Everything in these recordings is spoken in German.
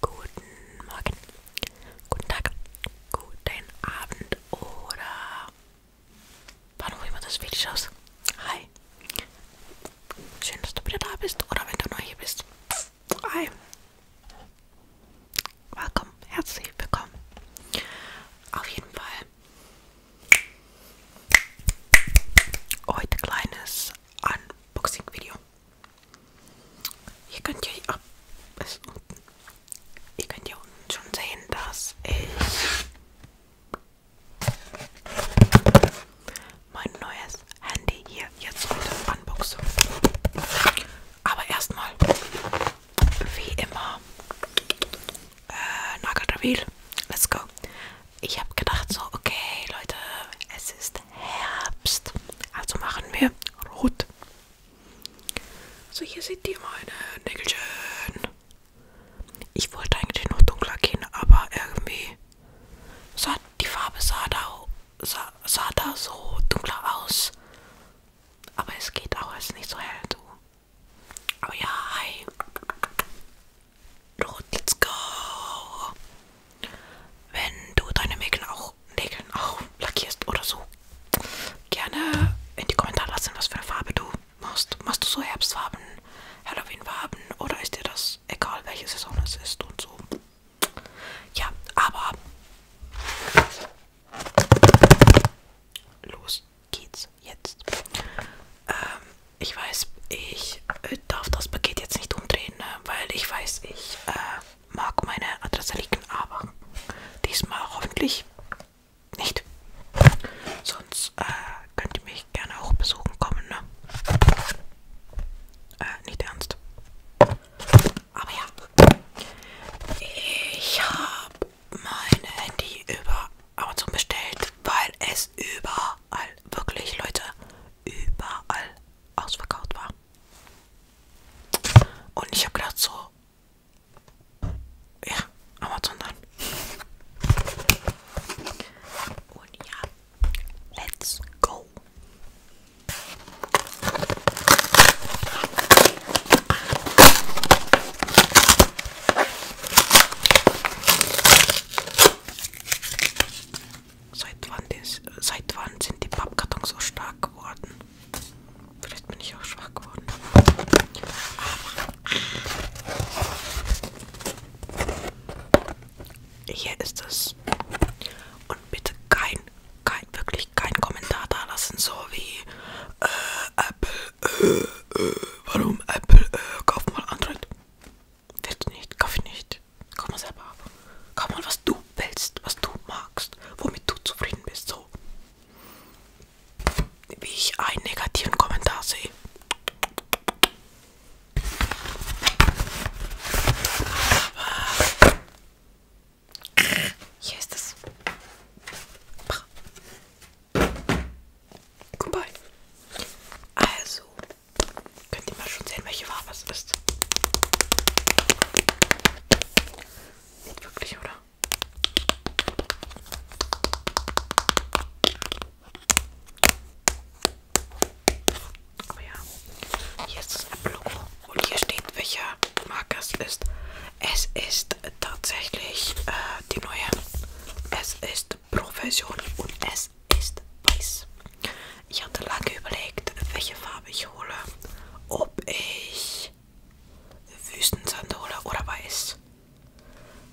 Guten Morgen, guten Tag, guten Abend oder wann auch immer das Video schaust. Hi. Schön, dass du wieder da bist oder wenn du neu hier bist. Hi. Willkommen, herzlich willkommen. Auf jeden Fall. Heute kleines Unboxing-Video. Hier könnt ihr ab, ist unten. Ihr könnt hier unten schon sehen, dass ich mein neues Handy hier jetzt heute unboxe. Aber erstmal, wie immer, äh, Nugget Reveal. Let's go ich habe gedacht so, okay Leute, es ist Herbst, also machen wir rot. So, hier seht ihr meine Nägelchen. Ich wollte eigentlich noch dunkler gehen, aber irgendwie sah die Farbe sah da, sah, sah da so dunkler aus. Aber es geht auch, es ist nicht so hell, du. Aber ja, hi. Doch, let's go. Wenn du deine Nägel auch, Nägeln auch lackierst oder so, gerne in die Kommentare lassen, was für eine Farbe du machst. Machst du so Herbstfarben, Halloweenfarben oder ist dir das egal, welche Saison es ist und so? Ja, aber los geht's jetzt. Ähm, ich weiß, ich äh, darf das Paket jetzt nicht umdrehen, ne? weil ich weiß, ich äh, mag meine Adresse liegen, aber diesmal hoffentlich nicht. Sonst äh, könnt ihr mich gerne auch besuchen kommen. Ne? Äh, nicht ernst. Aber ja, ich habe mein Handy über Amazon bestellt, weil es überall, wirklich Leute, überall ausverkauft war. Und ich habe gedacht so, ja, Amazon dann. Und ja, let's go. Seit wann, ist, seit wann sind die Pappkartons so stark geworden? Vielleicht bin ich auch schwach geworden. Hier ist es. Und bitte kein, kein, wirklich kein Kommentar da lassen, so wie äh, Apple, äh, äh, warum Apple, äh, kauft mal Android. Willst nicht, kauf nicht. Komm mal selber ab. Komm mal, was du willst, was du magst, womit du zufrieden bist. So. Wie ich einen negativen Kommentar sehe. Hier ist es. Goodbye. Also, könnt ihr mal schon sehen, welche Farbe es ist. Nicht wirklich, oder? Aber oh ja, hier ist das Logo und hier steht, welcher Marke es ist. Es ist tatsächlich äh, die neue. Es ist ist Profession und es ist weiß. Ich hatte lange überlegt, welche Farbe ich hole. Ob ich Wüstensand hole oder weiß.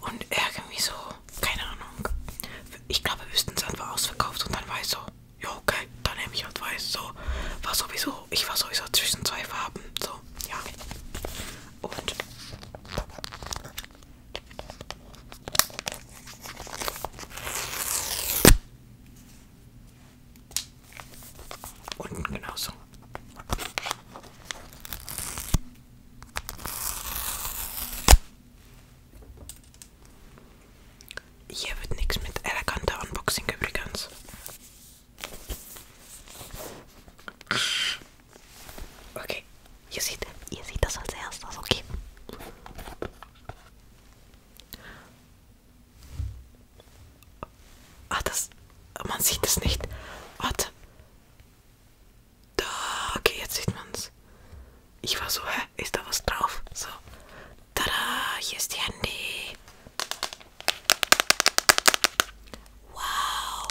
Und irgendwie so, keine Ahnung. Ich glaube, Wüstensand war ausverkauft und dann weiß so, ja okay, dann nehme ich halt weiß. So, war sowieso, ich war sowieso zwischen zwei Farben. So, ja. Und unten genauso. Hier wird nichts mit eleganter Unboxing übrigens. Okay, ihr seht, ihr seht das als erstes, okay. Ah, das. Man sieht es nicht. Warte. Da, okay, jetzt sieht man es. Ich war so, hä? Ist da was drauf? So. Tada, hier ist die Handy. Wow!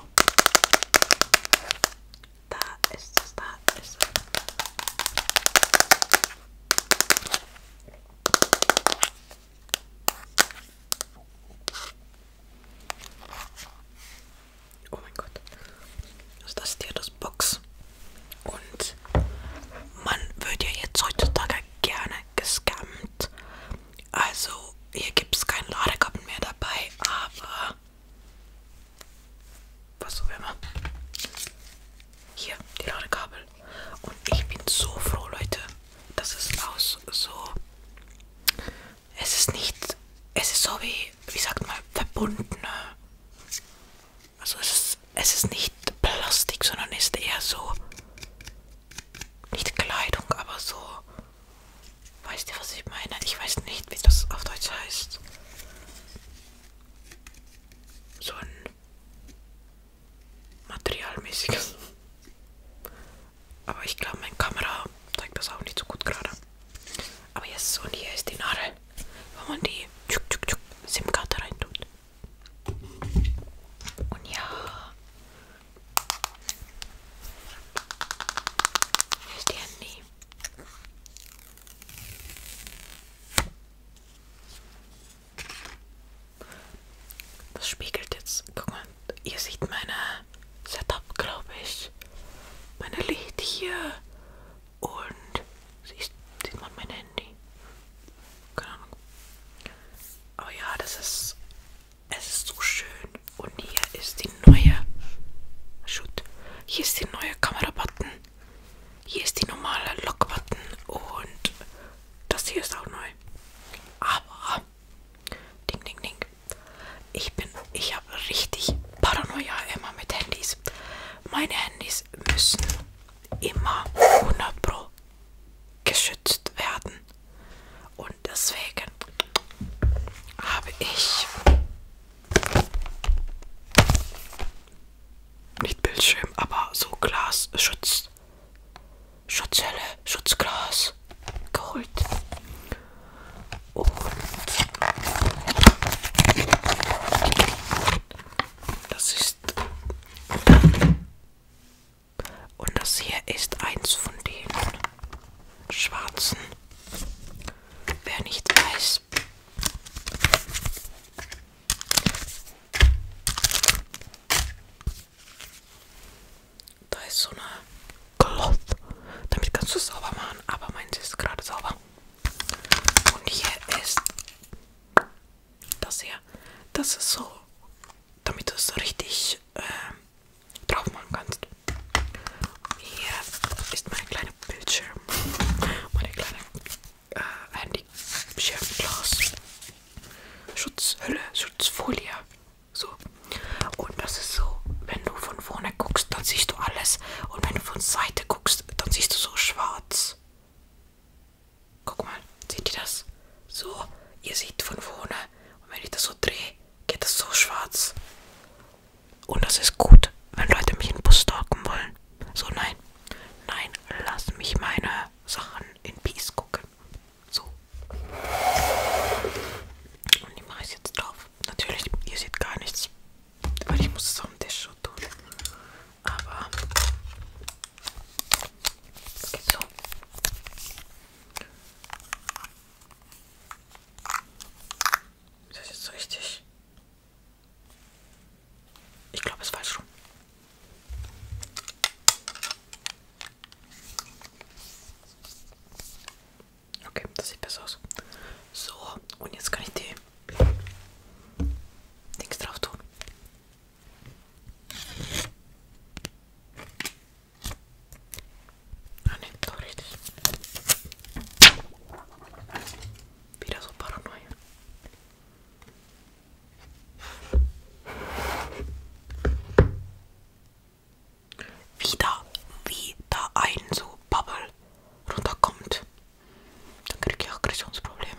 Da ist es, da ist es. Oh mein Gott. Also das ist ja das Box. Und man wird ja jetzt heutzutage gerne gescammt. Also hier gibt es kein Ladekabel mehr dabei, aber was auch immer. Hier die Ladekabel. Und ich bin so froh, Leute, dass es aus so. Es ist nicht. Es ist so wie, wie sagt man, verbunden. Also es ist, es ist nicht Plastik, sondern ist eher so. Nicht Kleidung, aber so Weißt du, was ich meine? Ich weiß nicht, wie das auf Deutsch heißt. So ein materialmäßiges. Aber ich glaube, meine Kamera zeigt das auch nicht so gut gerade. Aber jetzt und hier ist die Nadel, wo man die SIM-Karte reintut. Und ja, Verstehen die? Das spiegelt jetzt. Guck mal, ihr seht meine Setup, glaube ich. Meine Licht hier. Und siehst, sieht man mein Handy? Keine Ahnung. Aber ja, das ist es ist so schön. Und hier ist die neue. Shoot. Hier ist die neue Kamera-Button. Hier ist die normale Lock-Button. Und das hier ist auch neu. Aber. Ding, ding, ding. Ich bin. Ich habe richtig Paranoia immer mit Handys. Meine Handys müssen immer 100 Pro geschützt werden. Und deswegen habe ich nicht Bildschirm, aber so Glas, Schutz, Schutzhülle, Schutzglas geholt. Und das ist und das hier ist eins von den schwarzen. Wer nicht weiß. Da ist so eine Cloth. Damit kannst du es sauber machen, aber meins ist gerade sauber. Und hier ist das hier. Das ist so, damit du es richtig äh, drauf machen kannst. Hier ist mein kleiner Bildschirm, meine kleine äh, Handy-Schirmglas. Schutzhülle, Schutzfolie. So. Und das ist so, wenn du von vorne guckst, dann siehst du alles. Und wenn du von Seite guckst, dann siehst du so schwarz. Guck mal, seht ihr das? So, ihr seht von vorne. Und wenn ich das so drehe, geht das so schwarz. Und das ist gut, wenn Leute mich in den Bus stalken wollen. So, nein. Nein, lass mich meine Sachen in Peace gucken. So. Und die mache ich jetzt drauf. Natürlich, ihr seht gar nichts. Weil ich muss es auf dem Tisch schon tun. Aber das geht so. Ist das jetzt so richtig? Ich glaube, es ist falsch rum. Okay, das sieht besser aus. So, und jetzt kann ich die Dings drauf tun. Ah, ne, doch richtig. Wieder so Paranoia. Wieder, wieder ein so Bubble runterkommt. Dann kriege ich auch Aggressionsprobleme.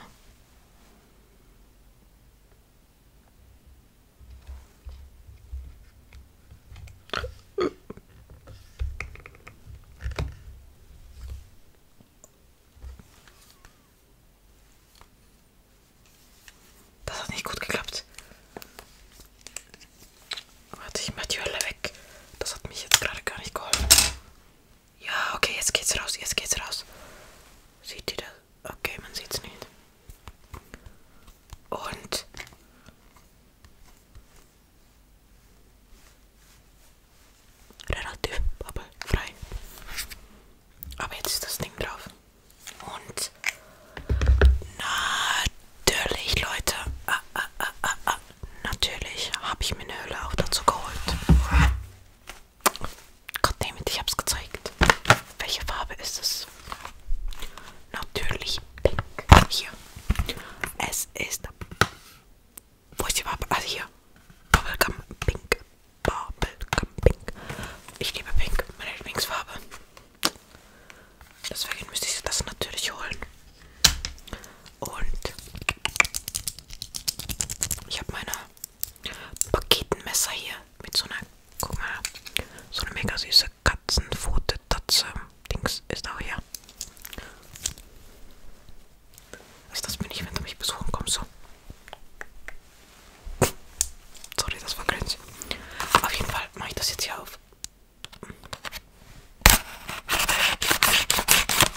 Das hat nicht gut geklappt. Warte, ich mach die Hölle weg. Das hat mich jetzt gerade gar nicht geholfen. Ja, okay, jetzt geht's raus, jetzt geht's raus. Seht ihr das? Okay, man sieht's nicht. Und relativ bubblefrei. Aber jetzt ist das Ding drauf. Und natürlich, Leute, ah, ah, ah, ah, natürlich habe ich mir eine Hülle auch dazu geholt. Goddammit, ich hab's gezeigt. Welche Farbe ist es? Natürlich pink. Hier. Es ist. Wo ist die Farbe? Also hier. Bubblegum Pink. Bubblegum Pink. Ich liebe Pink. Meine Lieblingsfarbe. Deswegen müsste ich das natürlich holen. Und ich habe meine Paketenmesser hier mit so einer, guck mal, so eine mega süße Katzenpfote, Tatze, Dings ist auch hier. Also das bin ich, wenn du mich besuchen kommst, so. Sorry, das war cringe. Auf jeden Fall mache ich das jetzt hier auf.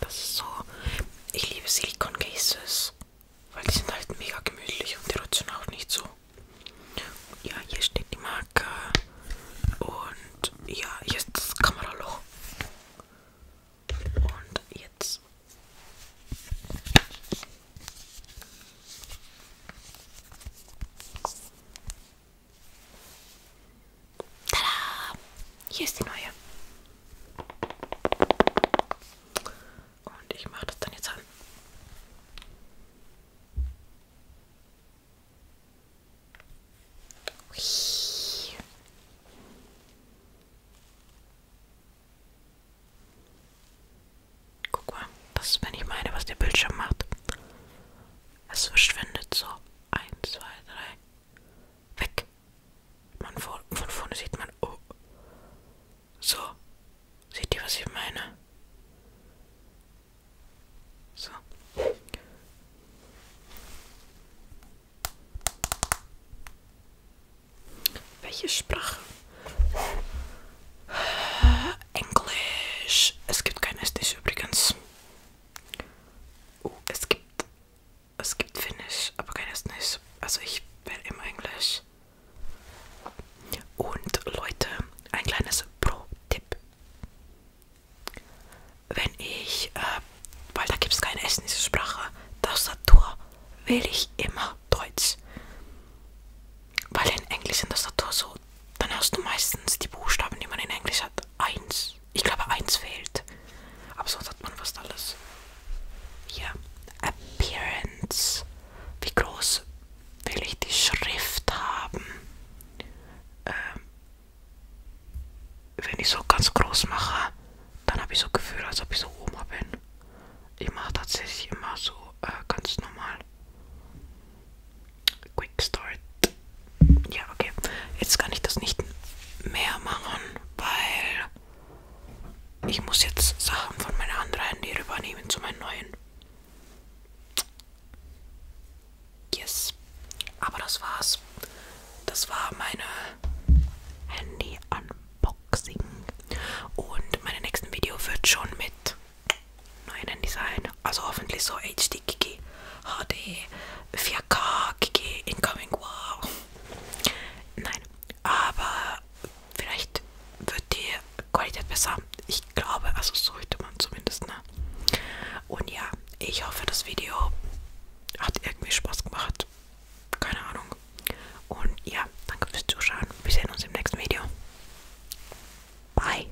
Das ist so. Ich liebe Silicon Cases, weil die sind halt mega gemütlich und die rutschen auch nicht so. Ja, hier steht die Marke. Und ja, hier ist das Kameraloch. Und jetzt. Tada! Hier ist die neue. Und ich mache das dann jetzt an. Hui. Guck mal, das ist, wenn ich meine, was der Bildschirm macht. Es verschwindet so. 1, 2, 3, Weg. Man, vor, von vorne sieht man. Oh. So. Seht ihr, was ich meine? So. Welche Sprache? Englisch. Es gibt kein Estisch übrigens. Oh, es gibt. Es gibt Finnisch, aber keines nicht. Also ich bin im Englisch. Und Leute, ein kleines Pro-Tipp. Wenn ich, äh, weil da gibt es keine estnische Sprache, Tastatur wähle ich immer Deutsch. Weil in Englisch in Tastatur so, dann hast du meistens die Buchstaben, die man in Englisch hat, eins eins. Ich glaube, eins fehlt. Aber sonst hat man fast alles. Hier. Appearance. Wie groß will ich die Schrift haben? Ähm, wenn ich so ganz groß mache, dann habe ich so Gefühl, als ob ich so Oma bin. Ich mache tatsächlich immer so äh, ganz normal. Quick Start. Ja, okay. Jetzt kann ich das nicht mehr machen, weil ich muss jetzt Sachen von meinem anderen Handy rübernehmen zu meinem neuen. Yes. Aber das war's. Das war meine Handy-Unboxing. Und mein nächstes Video wird schon mit neuen Design. Also hoffentlich so HD Kiki, HD, 4K Kiki, Incoming Wow. Nein, aber vielleicht wird die Qualität besser. Ich glaube, also sollte man zumindest, ne? Und ja, ich hoffe, das Video hat irgendwie Spaß gemacht. Keine Ahnung. Und ja, danke fürs Zuschauen. Wir sehen uns im nächsten Video. Bye.